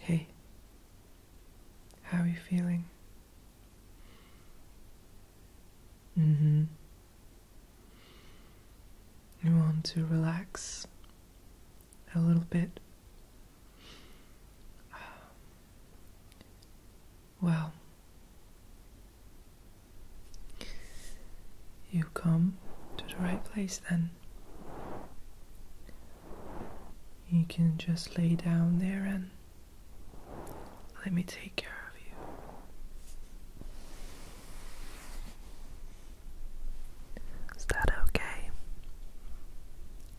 Hey, how are you feeling? Mm hmm. You want to relax a little bit? Well, you come to the right place then. You can just lay down there and let me take care of you. Is that okay?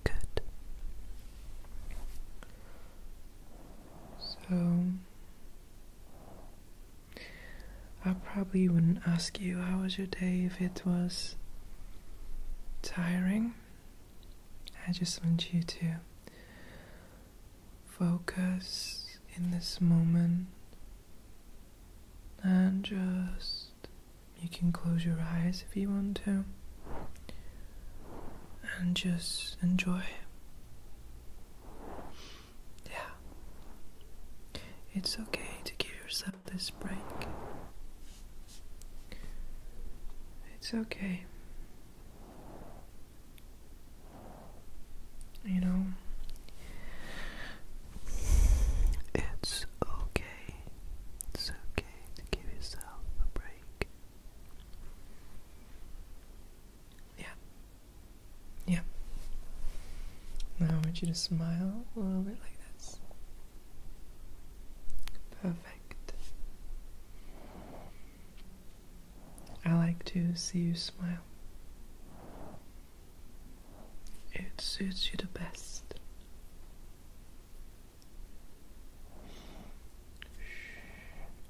Good. So I probably wouldn't ask you how was your day if it was tiring. I just want you to focus in this moment and just you can close your eyes if you want to and just enjoy. Yeah. It's okay to give yourself this break. It's okay. You know, it's okay. It's okay to give yourself a break. Yeah. Yeah. Now I want you to smile a little bit like this. Perfect. I like to see you smile. It suits you the best.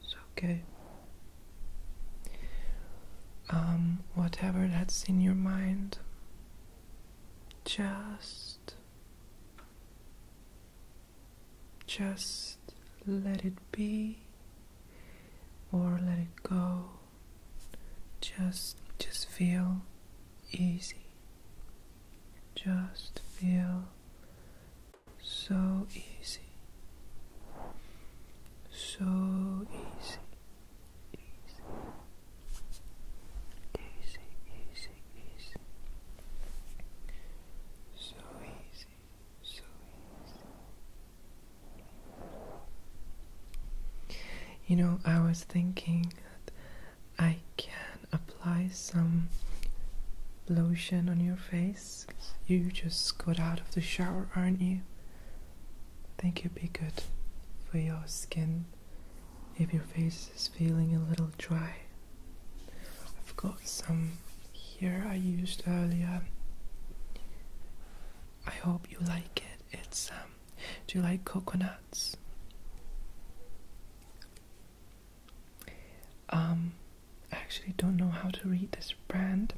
It's okay. Um, whatever that's in your mind, just, just let it be or let it go. Just, just feel easy. Just feel so easy. So easy easy, easy, easy, easy, so easy, so easy. You know, I was thinking I can apply some lotion on your face. You just got out of the shower, aren't you? Think you'd be good for your skin if your face is feeling a little dry. I've got some here I used earlier. I hope you like it. It's um, do you like coconuts? Um I actually don't know how to read this brand,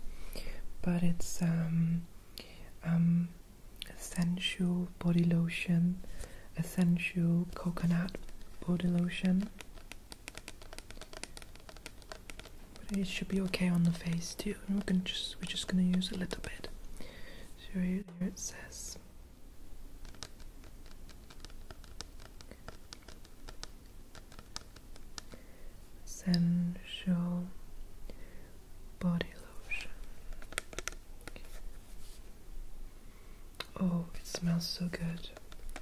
but it's um um, essential body lotion, essential coconut body lotion. it should be okay on the face too. we're gonna just we're just gonna use a little bit. So here it says. Essential body lotion. Oh, it smells so good.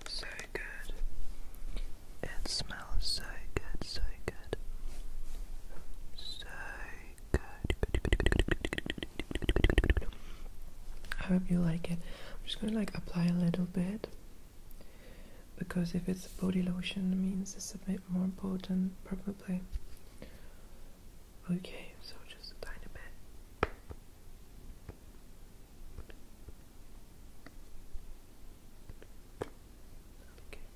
So good. It smells so good, so good. So good. I hope you like it. I'm just gonna like apply a little bit because if it's a body lotion it means it's a bit more important, probably okay so just a tiny bit okay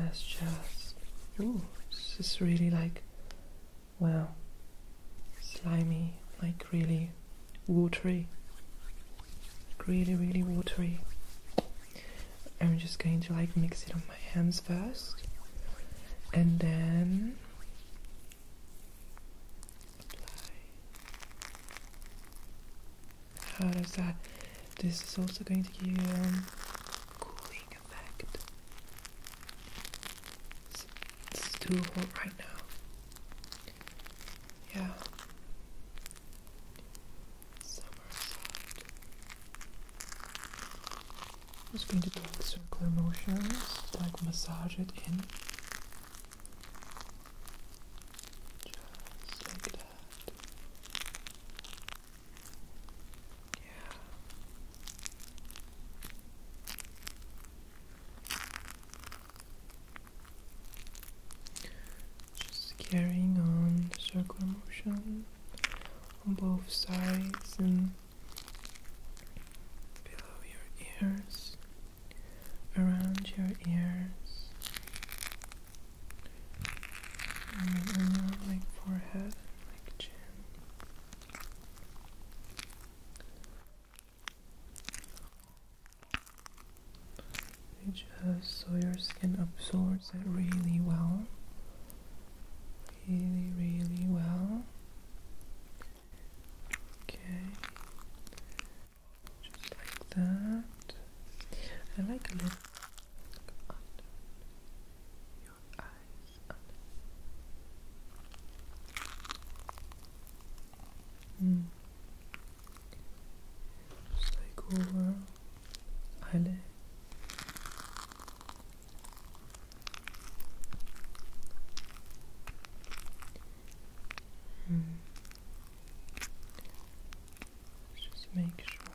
let just ooh this is really like wow slimy like really watery really really watery I'm just going to like mix it on my hands first and then apply how does that this is also going to give you um, cooling effect it's, it's too hot right now yeah Somersault. I'm just going to take circular motions, like massage it in. Just like that. Yeah. Just carrying on circular motion on both sides and below your ears, around your ears, around like forehead, like chin just so your skin absorbs it really well really really well okay just like that I like a little under your eyes under. Mm just like hmm. just make sure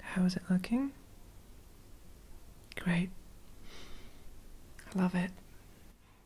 How is it looking? Great. I love it.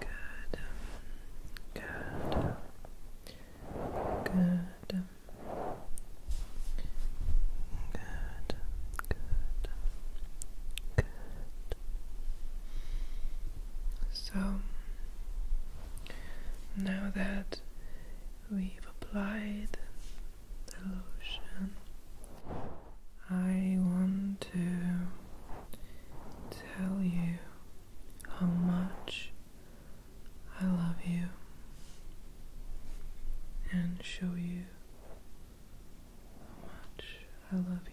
Good. Good. Good. Good. Good. Good. So now that we've applied the lotion, I want to tell you how much I love you and show you how much I love you.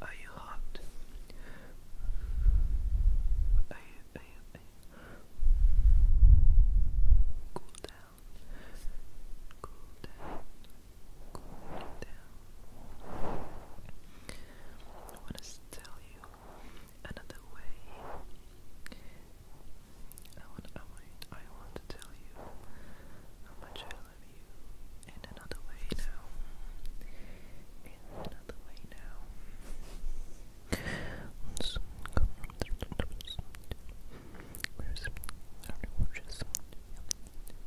are you hot? Are you, Cool down. Cool down cooling I want to tell you another way. I want, I want, I want to tell you how much I love you in another way now. In another way now.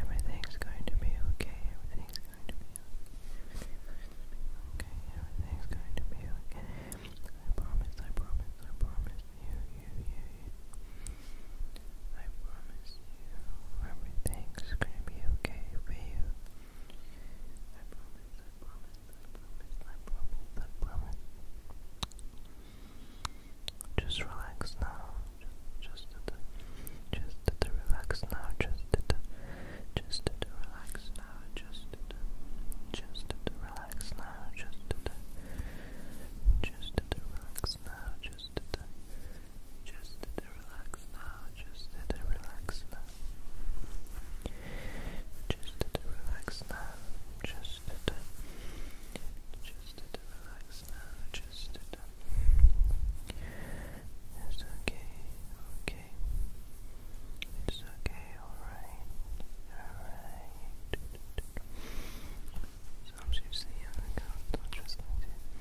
Everything's going to be okay. Everything's going to be okay. Everything's going to be okay. I promise, I promise, I promise you, you, you, you. I promise you everything's gonna be okay for you. I promise, I promise, I promise, I promise, I promise. Just relax now. Just, just, did the, just did the relax now. Just, did the, just, did the relax now. Just, did the, just, did the relax now. Just, did the, just, did the relax now. Just, did the, just, did to relax now, just relax now. Just relax now, just to just relax now, just to It's okay, okay. It's okay, alright, alright. So I'm just saying, I'm just like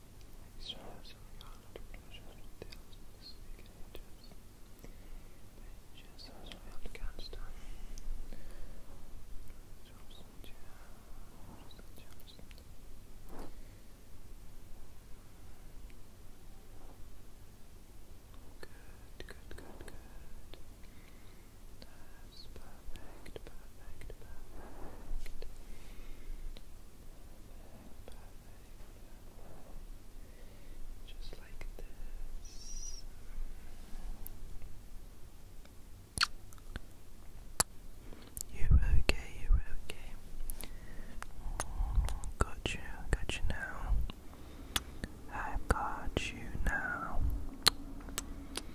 Extravagant honored pleasures and tales of the sleek ages. Ages as we Afghanistan. Jobs and jobs and jobs and Good, good, good, good. That's perfect, perfect, perfect. Just You're okay, you're okay. Got you, got you now. I've got you now.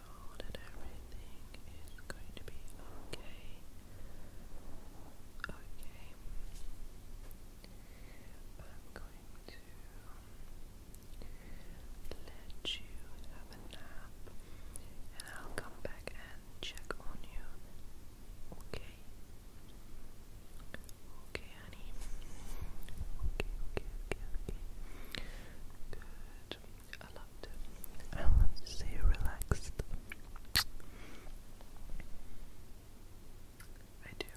know that everything is going to be okay. Okay. I'm going to let you have a nap and I'll come back and check on you. Okay. Okay, honey. Okay, okay, okay, okay. Good. I loved it. I love to see you relaxed. I do.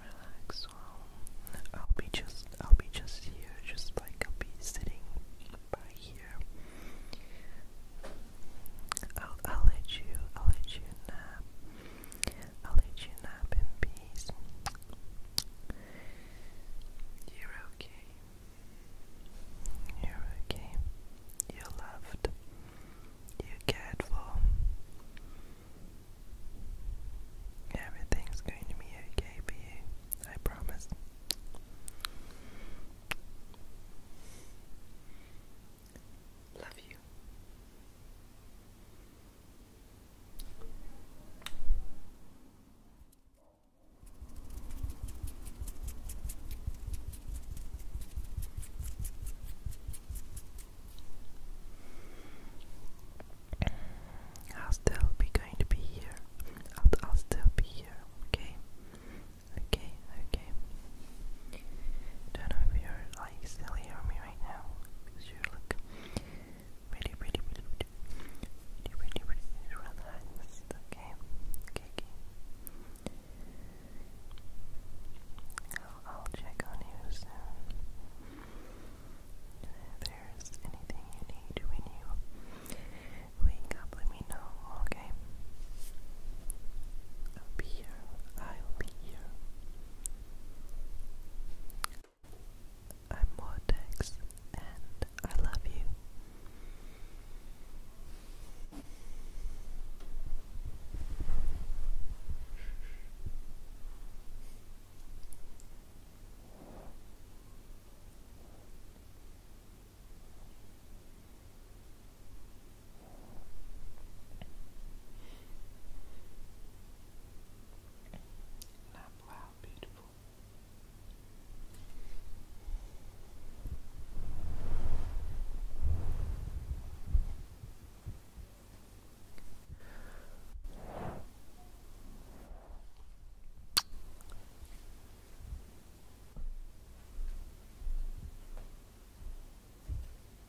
Relax. I'll be just. I'll be just here. Just like I'll be sitting by here. I'll. I'll let you. I'll let you I'll let you nap in peace. You're okay. You're okay. You're loved. You're cared for. Everything's going to be okay for you. I promise. Love you. I'll still be going to be here. I'll, I'll still be here, okay? Okay, okay. Don't know if you're like still hearing me right now you look really, really, really, really, really, really, really relaxed, okay? Okay, okay. I'll, check on you soon. if there's anything you need when you wake up, let me know, okay? I'll be here. I'll be here. I'm Vortex, and I love you. Now, wow, beautiful. Now